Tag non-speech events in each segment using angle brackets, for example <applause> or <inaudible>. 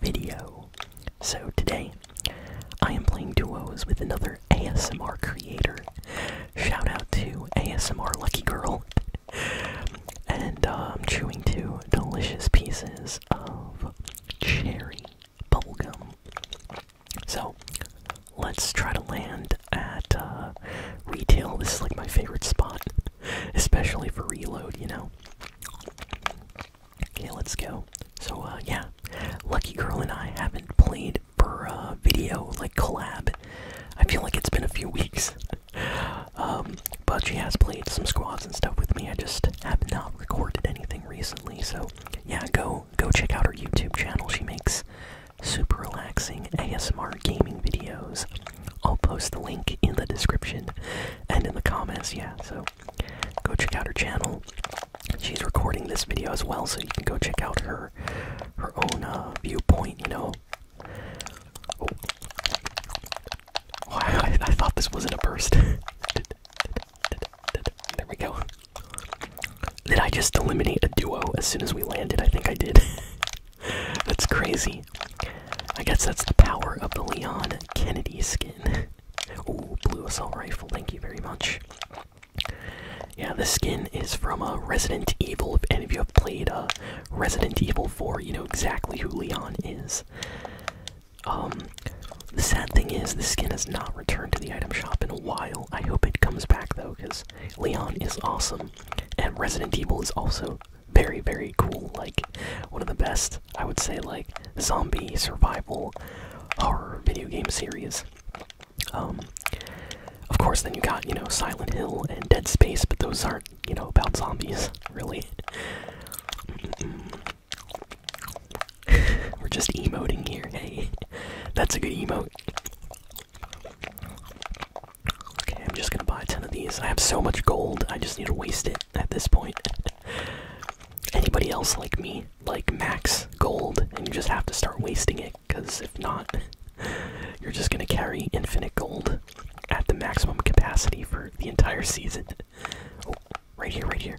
video. So, today, I am playing duos with another ASMR creator. Shout out to ASMR Lucky Girl. and uh, I'm chewing two delicious pieces of cherry bubblegum. So, let's try to land at uh, retail. This is like my favorite spot, <laughs> especially for reload, you know? Okay, let's go. So, uh, yeah, Lucky Girl and I haven't played for a uh, video, like collab. I feel like it's been a few weeks. <laughs> Um, but she has played some squads and stuff with me. I just have not recorded anything recently. So, yeah, go go check out her YouTube channel. She makes super relaxing ASMR gaming videos. I'll post the link in the description and in the comments. Yeah, so Go check out her channel. She's recording this video as well, so you can go check out her her own uh, viewpoint. You know. Oh. <laughs> I, I thought this wasn't a burst. <laughs> there we go. Did I just eliminate a duo as soon as we landed? I think I did. <laughs> that's crazy. I guess that's the power of the Leon Kennedy skin skin. <laughs> blue assault rifle, thank you very much. Yeah, this skin is from a uh, Resident Evil. If any of you have played a uh, Resident Evil 4, you know exactly who Leon is. Um, the sad thing is, the skin has not returned to the item shop in a while. I hope it comes back though, because Leon is awesome, and Resident Evil is also very, very cool. Like, one of the best, I would say, like zombie survival horror video game series. Um, of course, then you got you know Silent Hill and Dead Space, but those aren't you know about zombies really. <laughs> We're just emoting here. Hey, that's a good emote. Okay, I'm just gonna buy 10 of these. I have so much gold, I just need to waste it at this point. <laughs> Anybody else like me, like max gold, and you just have to start wasting it, because if not, you're just gonna carry infinite gold at the maximum capacity for the entire season. Oh, right here, right here.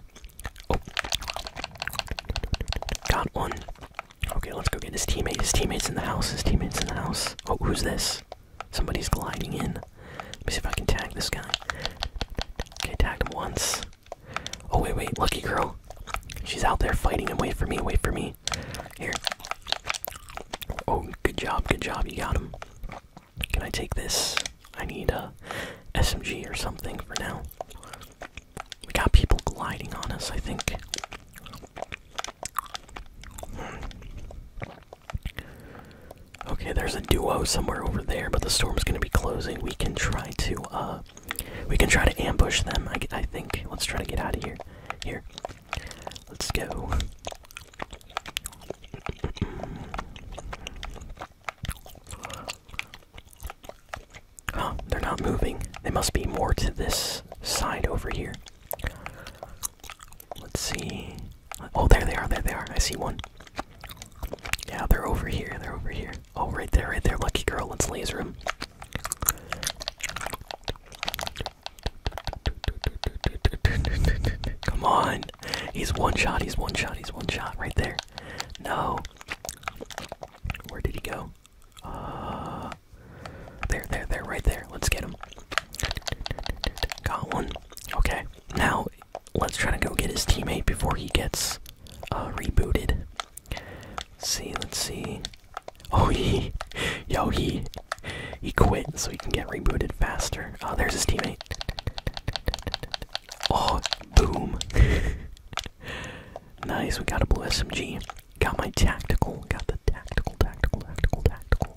Oh. Got one. Okay, let's go get his teammates. His teammate's in the house. His teammate's in the house. Oh, who's this? Somebody's gliding in. Let me see if I can tag this guy. Okay, tagged him once. Oh, wait, wait, lucky girl. She's out there fighting him. Wait for me, wait for me. Here. Oh, good job, good job. You got him. Can I take this? I need a SMG or something for now. We got people gliding on us, I think. Okay, there's a duo somewhere over there, but the storm's gonna be closing. We can try to, uh, we can try to ambush them. I, I think. Let's try to get out of here. Here, let's go. Oh, they're not moving. They must be more to this side over here. Let's see. Oh, there they are. There they are. I see one. Yeah, they're over here. They're over here. Oh, right there, right there. Lucky girl. Let's laser him. Come on. He's one shot. He's one shot. He's one shot. Right there. No. Where did he go? Uh. There, there, there. Right there. Let's get him. Got one. Okay. Now let's try to go get his teammate before he gets uh, rebooted. Let's see, let's see. Oh, <laughs> he, yo, he, he quit so he can get rebooted faster. Oh, there's his teammate. Oh, boom. <laughs> nice, we got a blue SMG. Got my tactical, got the tactical, tactical, tactical, tactical.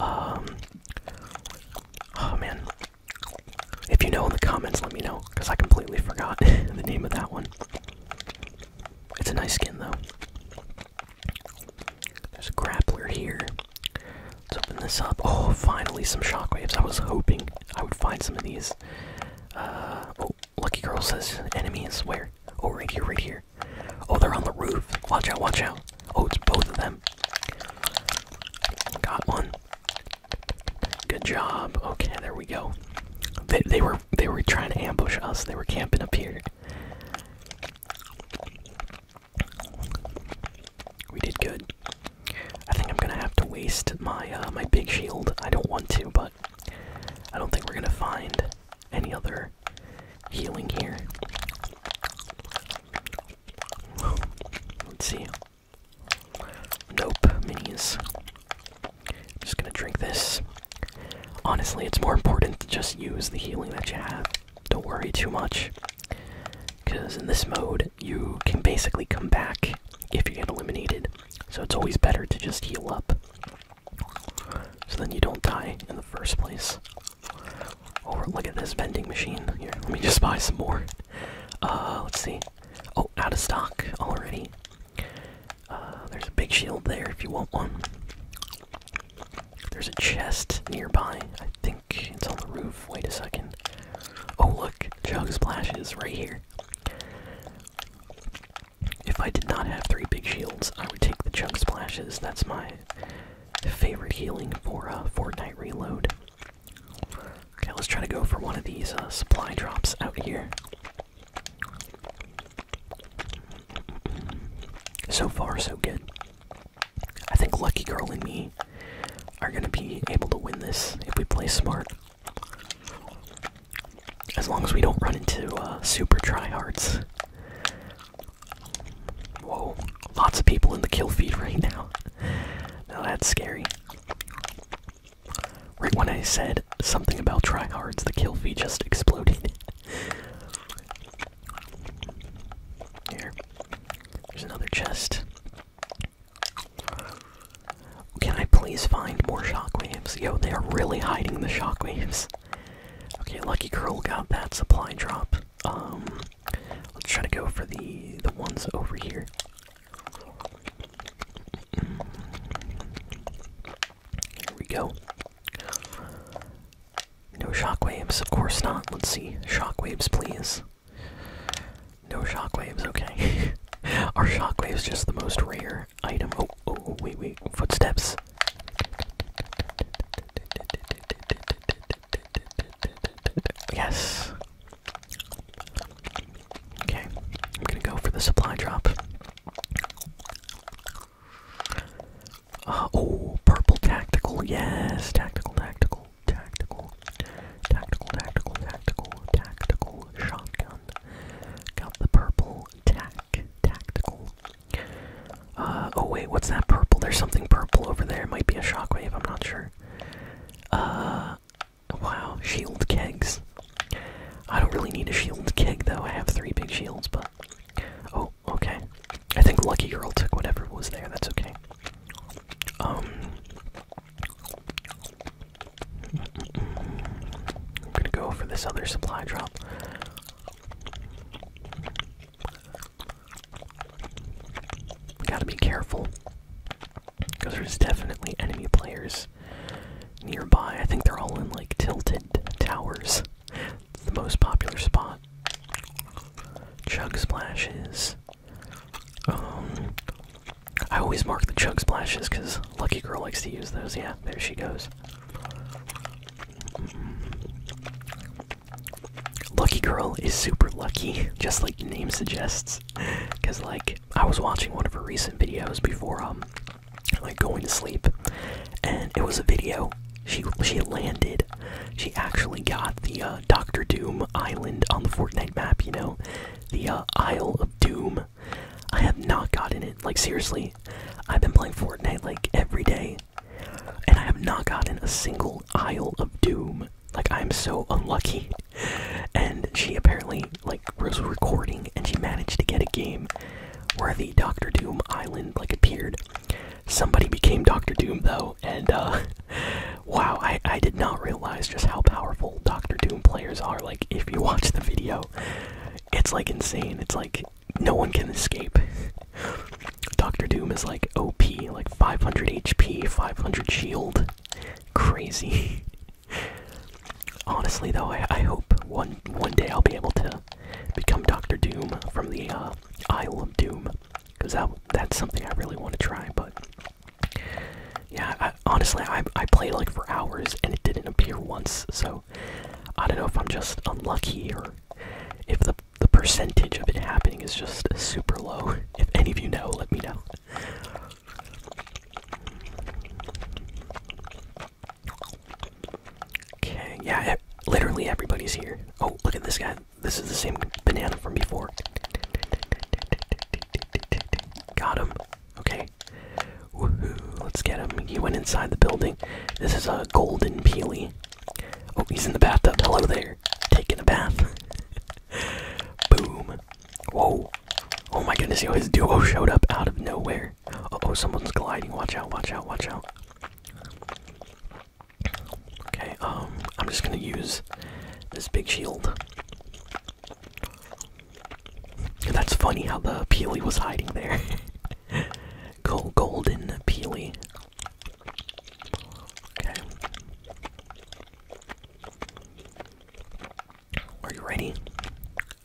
Um, oh man, if you know in the comments, let me know because I completely forgot <laughs> the name of that one. It's a nice skin though. There's a grappler here. Let's open this up. Oh, finally some shockwaves. I was hoping I would find some of these. Uh, oh, Lucky Girl says enemies. Where? Oh, right here, right here. Oh, they're on the roof. Watch out, watch out. Oh, it's both of them. Got one. Good job. Okay, there we go. They, they were they were trying to ambush us. They were camping up here. We did good. I think I'm gonna have to waste my uh, my big shield. I don't want to, but I don't think we're gonna find any other healing here. Let's see. Nope, minis. I'm just gonna drink this. Honestly, it's more important to just use the healing that you have. Don't worry too much. Because in this mode, you can basically come back if you get eliminated. So it's always better to just heal up. So then you don't die in the first place. Oh, look at this vending machine. Here, let me just buy some more. Uh, let's see. Oh, out of stock already. Uh, there's a big shield there if you want one. There's a chest nearby. I think it's on the roof. Wait a second. Oh, look. chunk splashes right here. If I did not have three big shields, I would take the chunk splashes. That's my favorite healing for a uh, Fortnite Reload. Okay, let's try to go for one of these uh, supply drops out here. So far, so good. I think Lucky Girl and me are gonna be able to win this if we play smart. As long as we don't run into super uh, super tryhards. Whoa, lots of people in the kill feed right now. Now that's scary. Right when I said something about tryhards, the kill feed just exploded. Here. There's another chest. Can I please find more shockwaves? Yo, they are really hiding the shockwaves. Okay, lucky girl got that supply drop. Um, let's try to go for the the ones over here. Here we go. No shockwaves, of course not. Let's see. Shockwaves, please. No shockwaves, okay. <laughs> Are shockwaves just the most rare item? Oh, oh, wait, wait. Footsteps. Yes. Okay, I'm gonna go for the supply drop. Uh, oh, purple tactical. Yes, tactical, tactical, tactical, tactical, tactical, tactical, tactical shotgun. Got the purple tac, tactical uh, oh wait, what's that purple? There's something purple over there. It might be a shockwave, I'm not sure. Uh, wow, shield kegs. I don't really need a shield keg though, I have three big shields, but... Oh, okay. I think Lucky Girl took whatever was there, that's okay. Um... I'm gonna go for this other supply drop. We gotta be careful. Because there's definitely enemy players nearby. I think they're all in like tilted towers. It's the most popular spot. Chug splashes. Um, I always mark the chug splashes because Lucky Girl likes to use those. Yeah, there she goes. Mm-hmm. Lucky Girl is super lucky, just like the name suggests. Cause like I was watching one of her recent videos before um like going to sleep, and it was a video. She she landed. She actually got the uh, Doctor Doom island on the Fortnite map. You know, the uh, Isle of Doom. I have not gotten it. Like seriously, I've been playing Fortnite like every day, and I have not gotten a single Isle of Doom. Like, I'm so unlucky. And she apparently, like, was recording and she managed to get a game where the Doctor Doom island, like, appeared. Somebody became Doctor Doom, though, and, uh, <laughs> wow, I, I did not realize just how powerful Doctor Doom players are. Like, if you watch the video, it's, like, insane. It's, like, no one can escape. Doctor Doom is like OP, like 500 HP, 500 shield. Crazy. Honestly, though, I, I hope one one day I'll be able to become Doctor Doom from the uh, Isle of Doom, because that that's something I really want to try. But yeah, honestly, I I played like for hours and it didn't appear once, so I don't know if I'm just unlucky or if the the percentage of it happening is just super low. If any of you know, let me know. Okay, yeah, literally everybody's here. Oh, look at this guy. This is the same banana from before. Got him. Okay. Woohoo, let's get him. He went inside the building. This is a golden peely. Oh, he's in the bathtub. Hello there. Taking a bath. <laughs> Boom. Whoa. Oh my goodness, yo, his duo showed up out of nowhere. Uh oh, someone's gliding. Watch out, watch out, watch out. Okay, um, I'm just gonna use this big shield. That's funny how the Peely was hiding there. <laughs> golden Peely. Okay. Are you ready?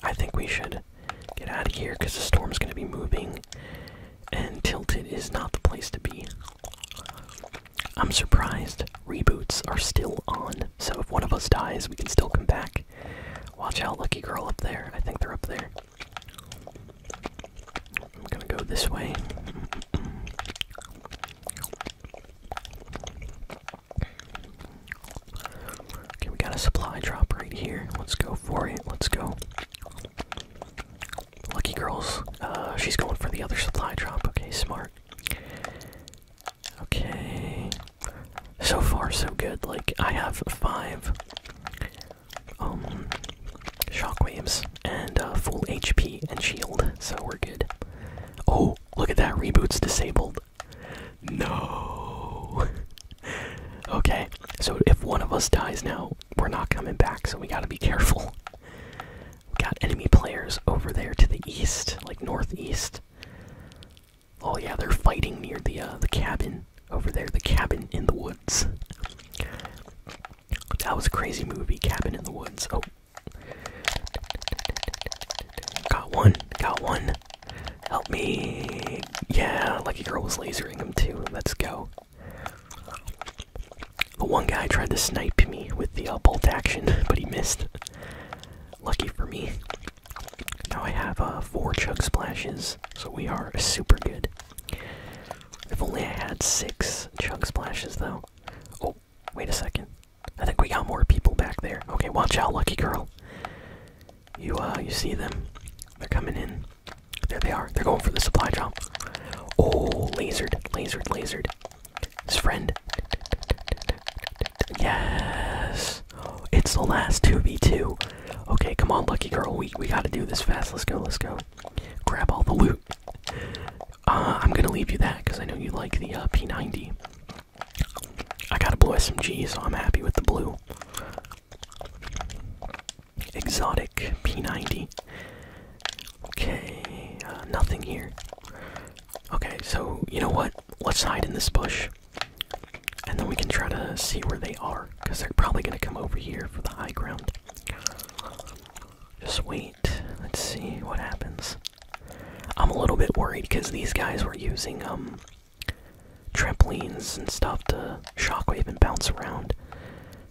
I think we should get out of here because the storm's going to be moving, and Tilted is not the place to be. I'm surprised reboots are still on, so if one of us dies, we can still come back. Watch out, Lucky Girl up there. I think they're up there. I'm gonna go this way. Okay, we got a supply drop right here. Let's go for it. Let's go. Lucky girls. Uh, she's going for the other supply drop. Okay, smart. Okay. So far, so good. Like, I have five um, shockwaves and uh, full HP and shield, so we're good. Oh, look at that! Reboot's disabled. No. <laughs> okay, so if one of us dies now, we're not coming back, so we gotta be careful. got enemy players over there to the east, like northeast. Oh yeah, they're fighting near the uh, the cabin over there, The Cabin in the Woods. That was a crazy movie, Cabin in the Woods. Oh. Got one, got one. Help me. Yeah, Lucky Girl was lasering him too. Let's go. The one guy tried to snipe me with the uh, bolt action, <laughs> but he missed. Lucky for me. Now I have uh, four chug splashes, so we are super good. If only I had six chunk splashes, though. Oh, wait a second. I think we got more people back there. Okay, watch out, lucky girl. You, uh, you see them? They're coming in. There they are. They're going for the supply drop. Oh, lasered, lasered, lasered. His friend. Yes. It's the last 2v2. Okay, come on, lucky girl. We, we gotta do this fast. Let's go, let's go grab all the loot. Uh, I'm gonna leave you that because I know you like the uh, P90. I got a blue SMG, so I'm happy with the blue. Exotic P90. Okay, uh, nothing here. Okay, so you know what? Let's hide in this bush. And then we can try to see where they are because they're probably going to come over here for the high ground. Just wait. Let's see what happens. I'm a little bit worried because these guys were using um trampolines and stuff to shockwave and bounce around.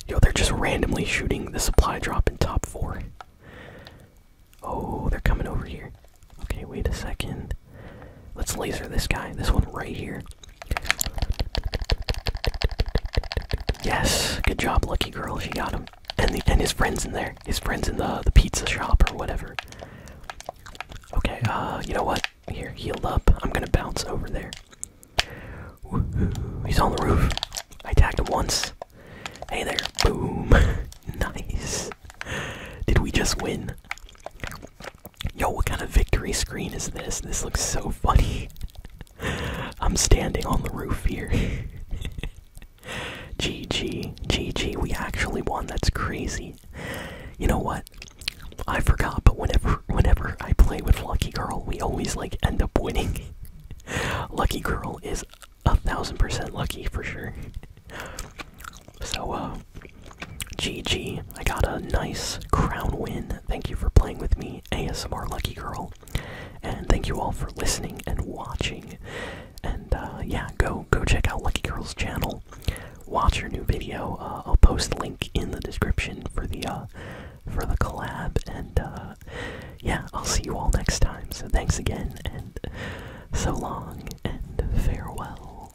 Yo, they're just randomly shooting the supply drop in top four. Oh, they're coming over here. Okay, wait a second. Let's laser this guy. This one right here. Yes, good job, lucky girl. She got him, and the, and his friends in there. His friends in the the pizza shop or whatever. Okay, uh, you know what? Here, healed up. I'm gonna bounce over there. He's on the roof. I tagged him once. Hey there! Boom! <laughs> nice. Did we just win? Yo, what kind of victory screen is this? This looks so funny. <laughs> I'm standing on the roof here. GG, <laughs> GG, we actually won. That's crazy. You know what? I forgot, but whenever whenever I play with Lucky Girl, we always like end up winning. <laughs> Lucky Girl is a thousand percent lucky for sure. So uh GG, I got a nice crown win thank you for playing with me, ASMR Lucky Girl. And thank you all for listening and watching. And uh, yeah, go go check out Lucky Girl's channel. Watch her new video. Uh, I'll post the link in the description for the uh, for the collab. And yeah, I'll see you all next time. So thanks again, and so long, and farewell.